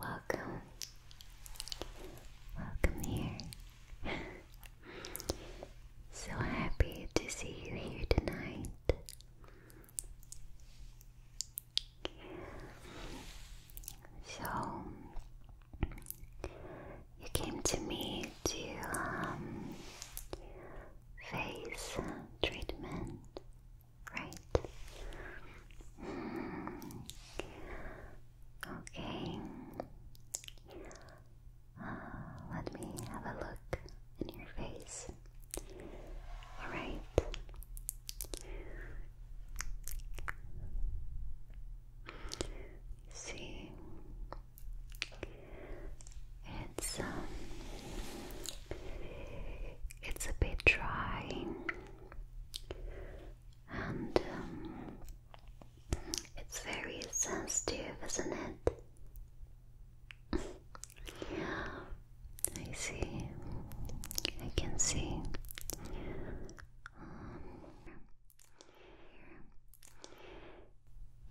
Welcome. Welcome here. so happy to see you here tonight. So, you came to me to um, face treatment, right? Hmm. Okay. Uh, let me have a look in your face. Alright. See, it's um, it's a bit dry, and um, it's very sensitive, isn't it? yeah, I see. I can see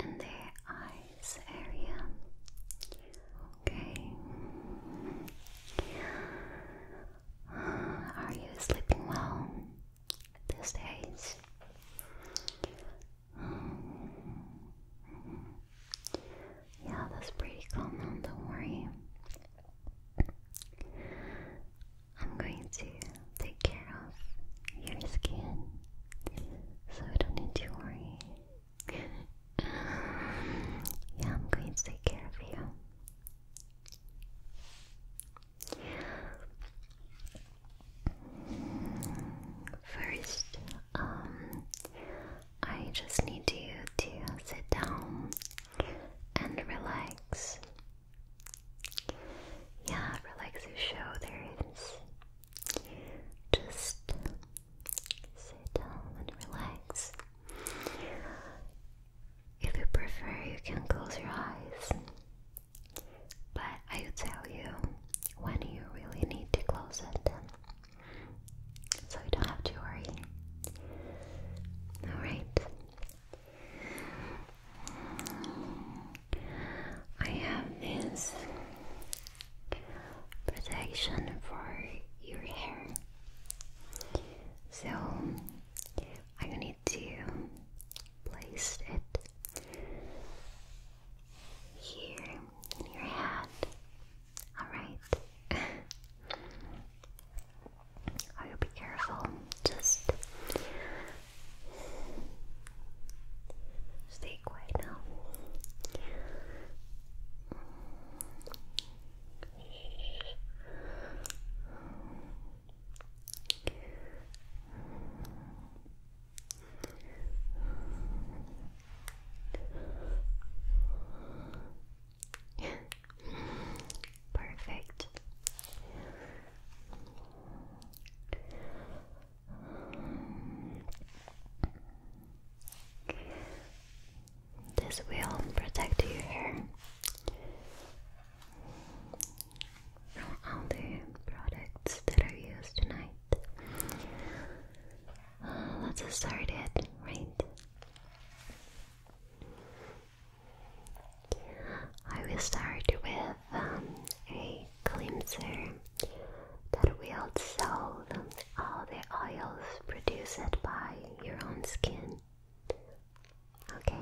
and their eyes area. Okay. Are you sleeping well these days? Yeah, that's pretty common, don't worry. I'm going to take care of your skin so I don't need to worry. Um, yeah, I'm going to take care of you. First, um, I just need you to sit down and relax. Yeah, relax your shoulders. Just sit down and relax. If you prefer, you can close your eyes. But I will tell you when you really need to close it. So you don't have to worry. Alright. I have this protection for your hair. So I'm gonna need to place it here in your head. Alright. I will be careful. Just Stay quiet now. Perfect. This will protect your hair from all the products that are used tonight. Uh, let's start it, right? I will start with um, a cleanser that will dissolve all the oils produced by your own skin. Okay.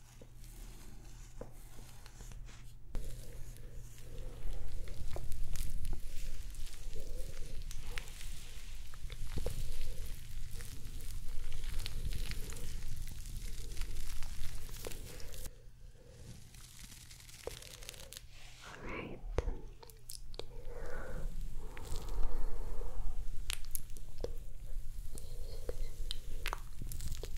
All right. Good.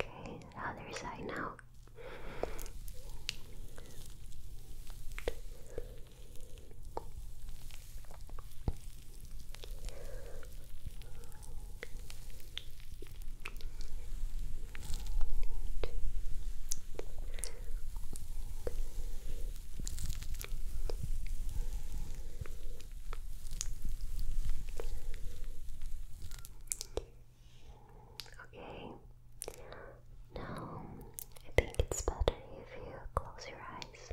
Okay, the other side now. Okay. Now, I think it's better if you close your eyes.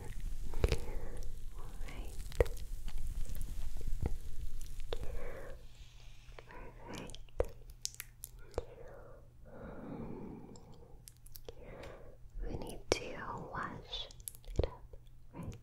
Alright. Perfect. we need to wash it up, right?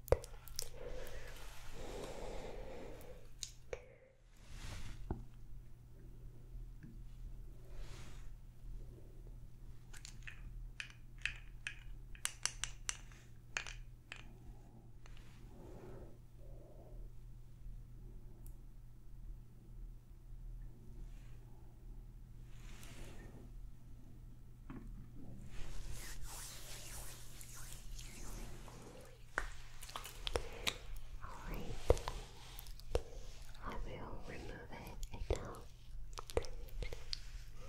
All right, I will remove it and remove it, most of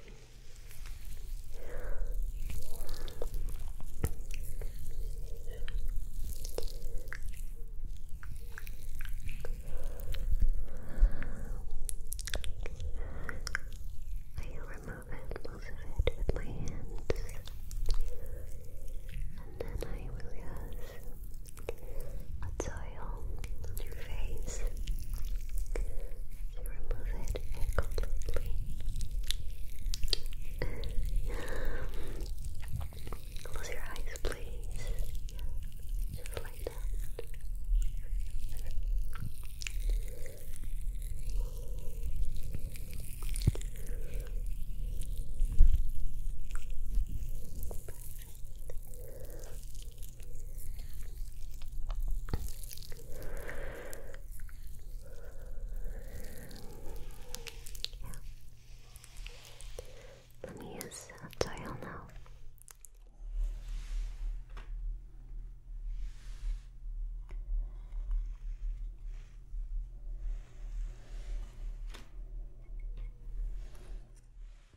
it with my hands. And then I will use a soil on your face remove it completely. Close your eyes, please. just like that. Yeah. Let me use a tile now.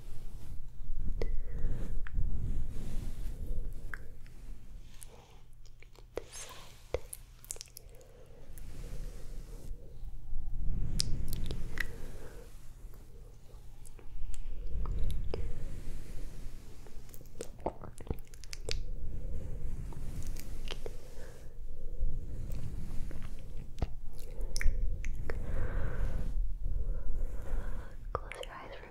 This side. Close your eyes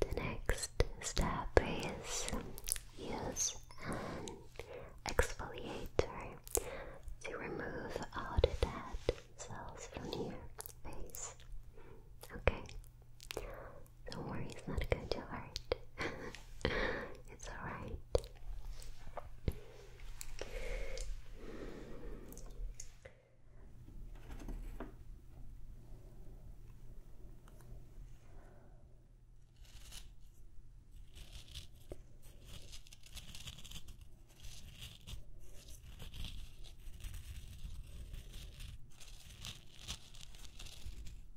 The next step is use an exfoliator to remove all the dead cells from your face. Okay. Don't worry, it's not going to hurt. it's alright.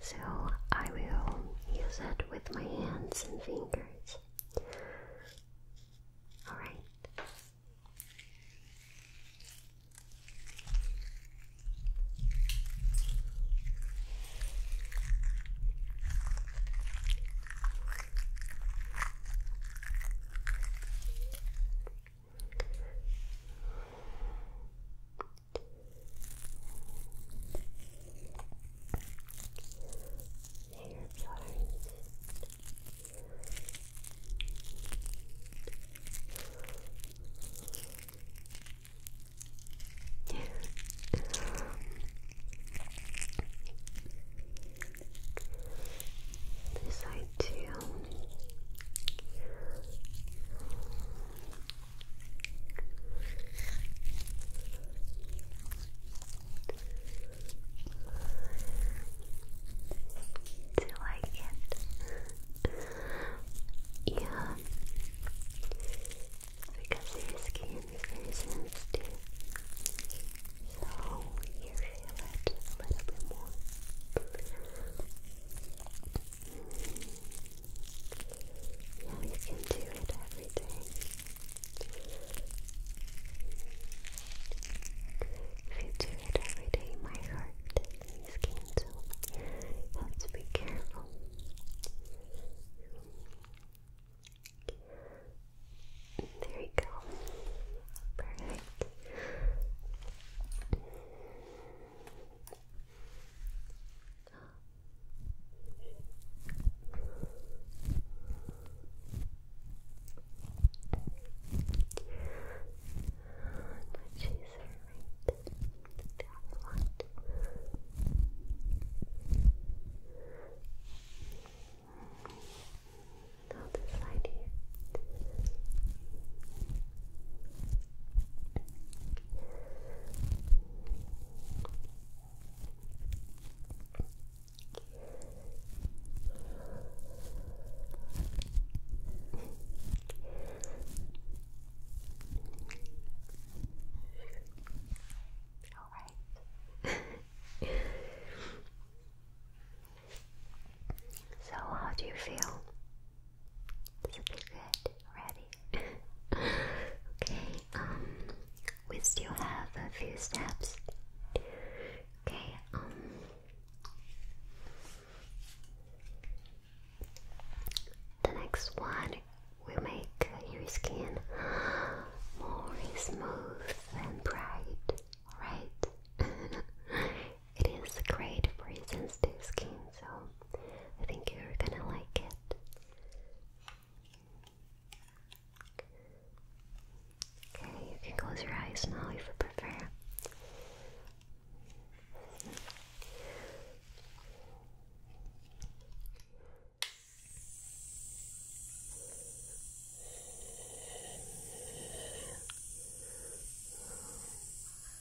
So I will use it with my hands and fingers. Alright. Hair patterns. this side too. Do you like it? yeah, because your skin is very sensitive, so you a little bit more you can do it every day. If you do it every day, my heart and skin have to be careful. There you go. Perfect. Which is right. The one. The other side here. so, how do you feel? This good. Ready? okay, um, we still have a few steps. Okay, um, the next one will make your skin more smooth and bright, right? it is great for sensitive skin, so I think you're gonna like it. Okay, you can close your eyes now if you prefer.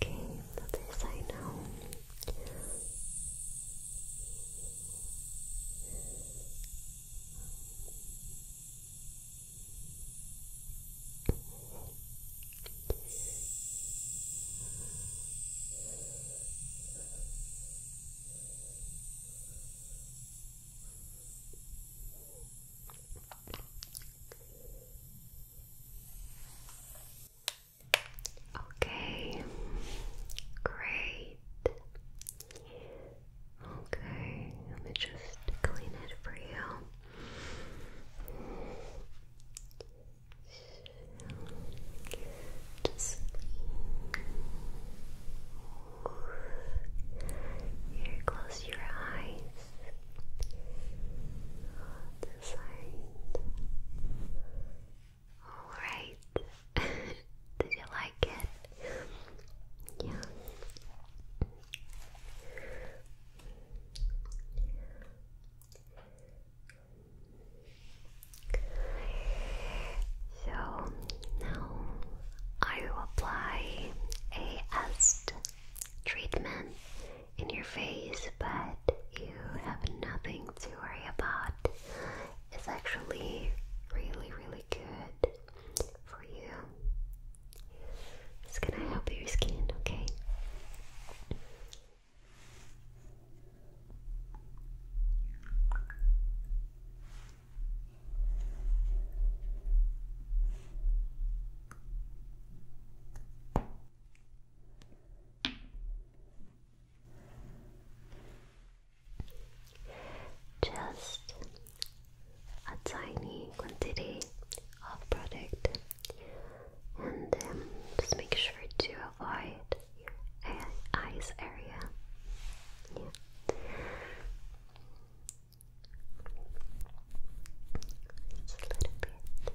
Okay, other side now. Okay. Okay, great. Okay, let me just clean it for you. just here, close your eyes the All right. Did you like it? Yeah. So now I will apply a acid treatment in your face, but you have nothing to worry about. It's actually really, really good for you. It's gonna help your skin, okay? Just a tiny quantity of product, and um, just make sure to avoid your eyes area. Yeah. Just a little bit. Okay.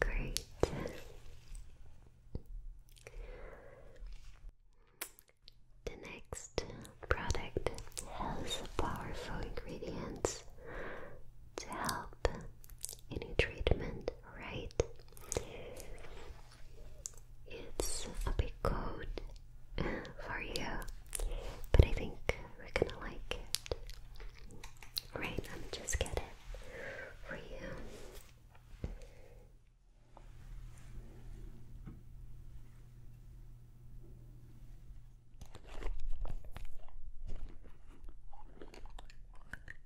Great. The next product has powerful ingredients to help any treatment right? It's a big coat for you, but I think we're gonna like it. Right, I'm just get it for you.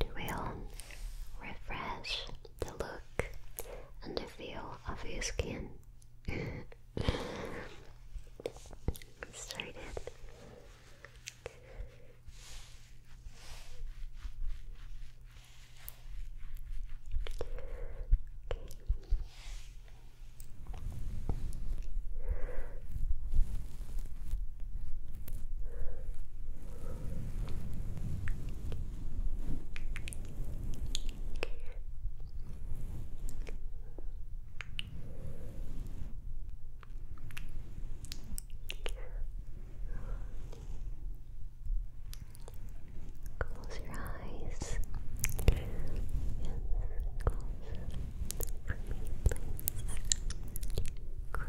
It will refresh the look and the feel of your skin started. Okay. Close your eyes. Yes, close for me, please. Great.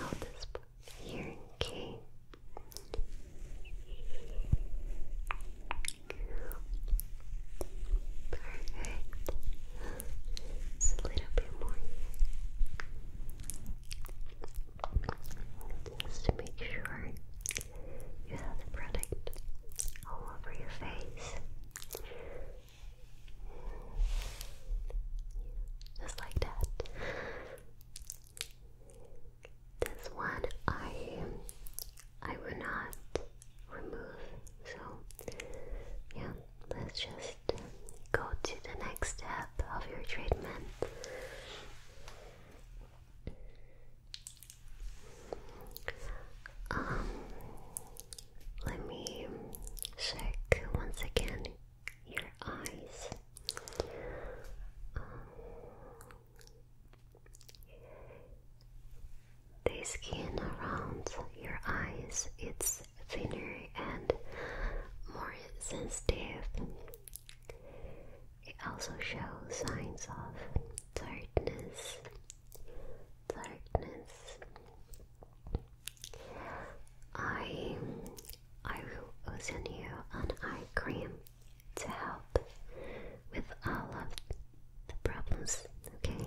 I'll just put here, okay? Perfect. Just a little bit more Just to make sure you have the product all over your face. Just like that. This one I I will not remove. So yeah, let's just go to the next step of your treatment. Um, let me check once again your eyes. the skin around your eyes it's thinner and more sensitive. It also shows signs of darkness. Darkness. I I will send you an eye cream to help with all of the problems, okay?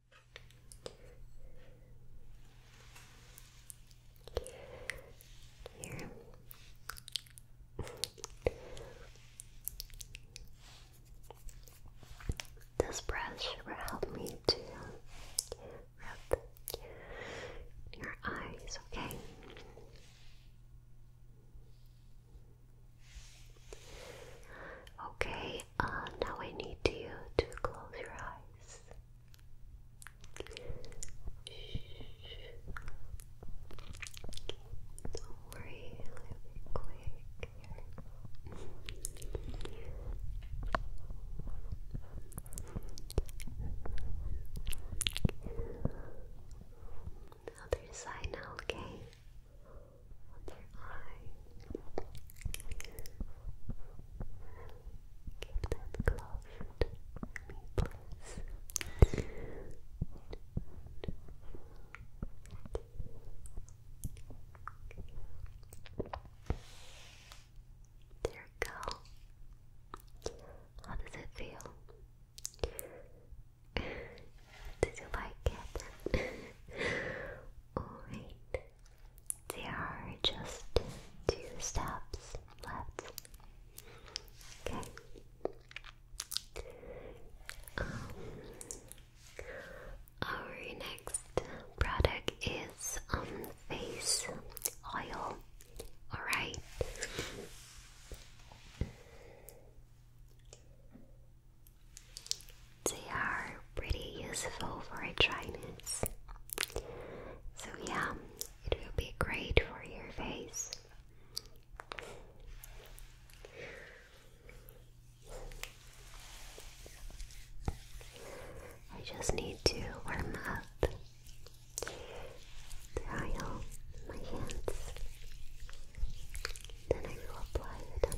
this brush will help me to rub your eyes, okay? Okay, uh, now I need you to close your eyes. Don't worry, I'll be quick other side now, okay? Keep that closed for me, There you go. How does it feel? Did you like it? Alright. Oh, there are just two steps left. Okay. Um, our next product is um face oil. All right. They are pretty useful for a dryness. So, yeah, it will be great for your face. I just need to warm up the oil in my hands. Then I will apply it on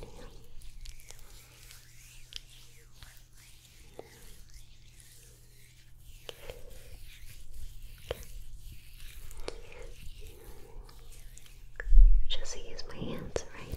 just use my hands, right?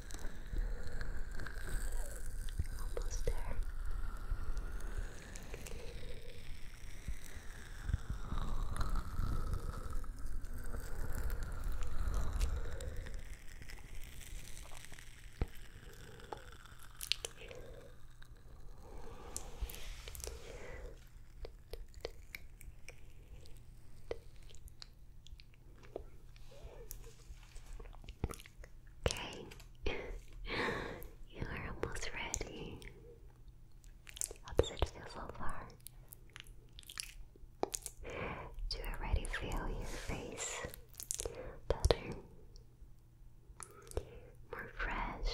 Almost there. Good. Okay, you are almost ready. How does it feel so far? Do you already feel your face better? More fresh?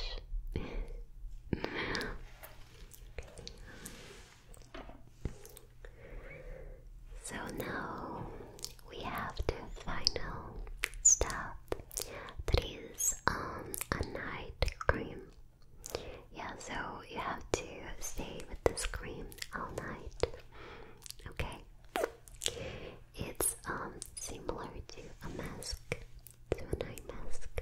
So now we have the final step that is um, a night cream. Yeah, so you have to stay with this cream all night. Okay? It's um, similar to a mask, to a night mask.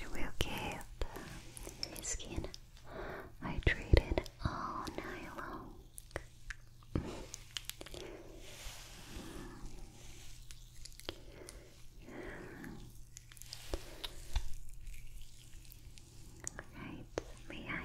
It will keep your skin hydrated all night long. Right, may I?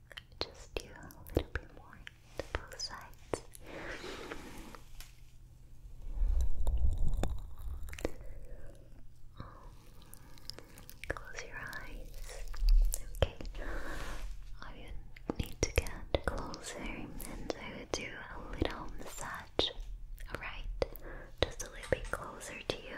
Just do a little bit more to sides. Um, close your eyes. Okay. I would need to get closer and I would do a little massage. Alright? Just a little bit closer to you.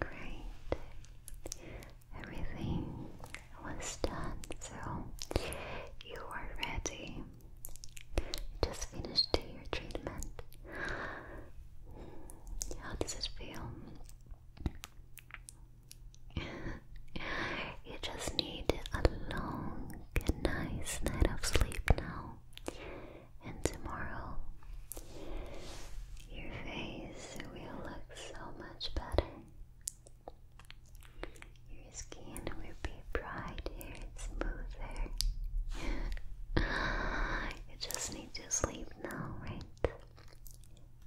Great. Everything was done, so you are ready. You just finished your treatment. How does it feel? you just need a long nice night of sleep now. And tomorrow, your face will look so much better. Your skin will be brighter smoother. you just need to sleep now, right?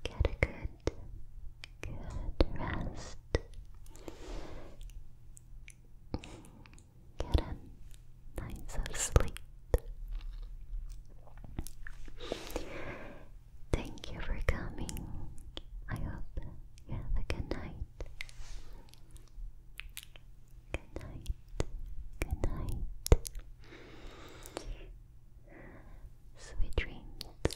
Get a good Good rest. Get a nice of Thank you for coming. I hope you have a good night. Good night. Good night. Sweet dreams.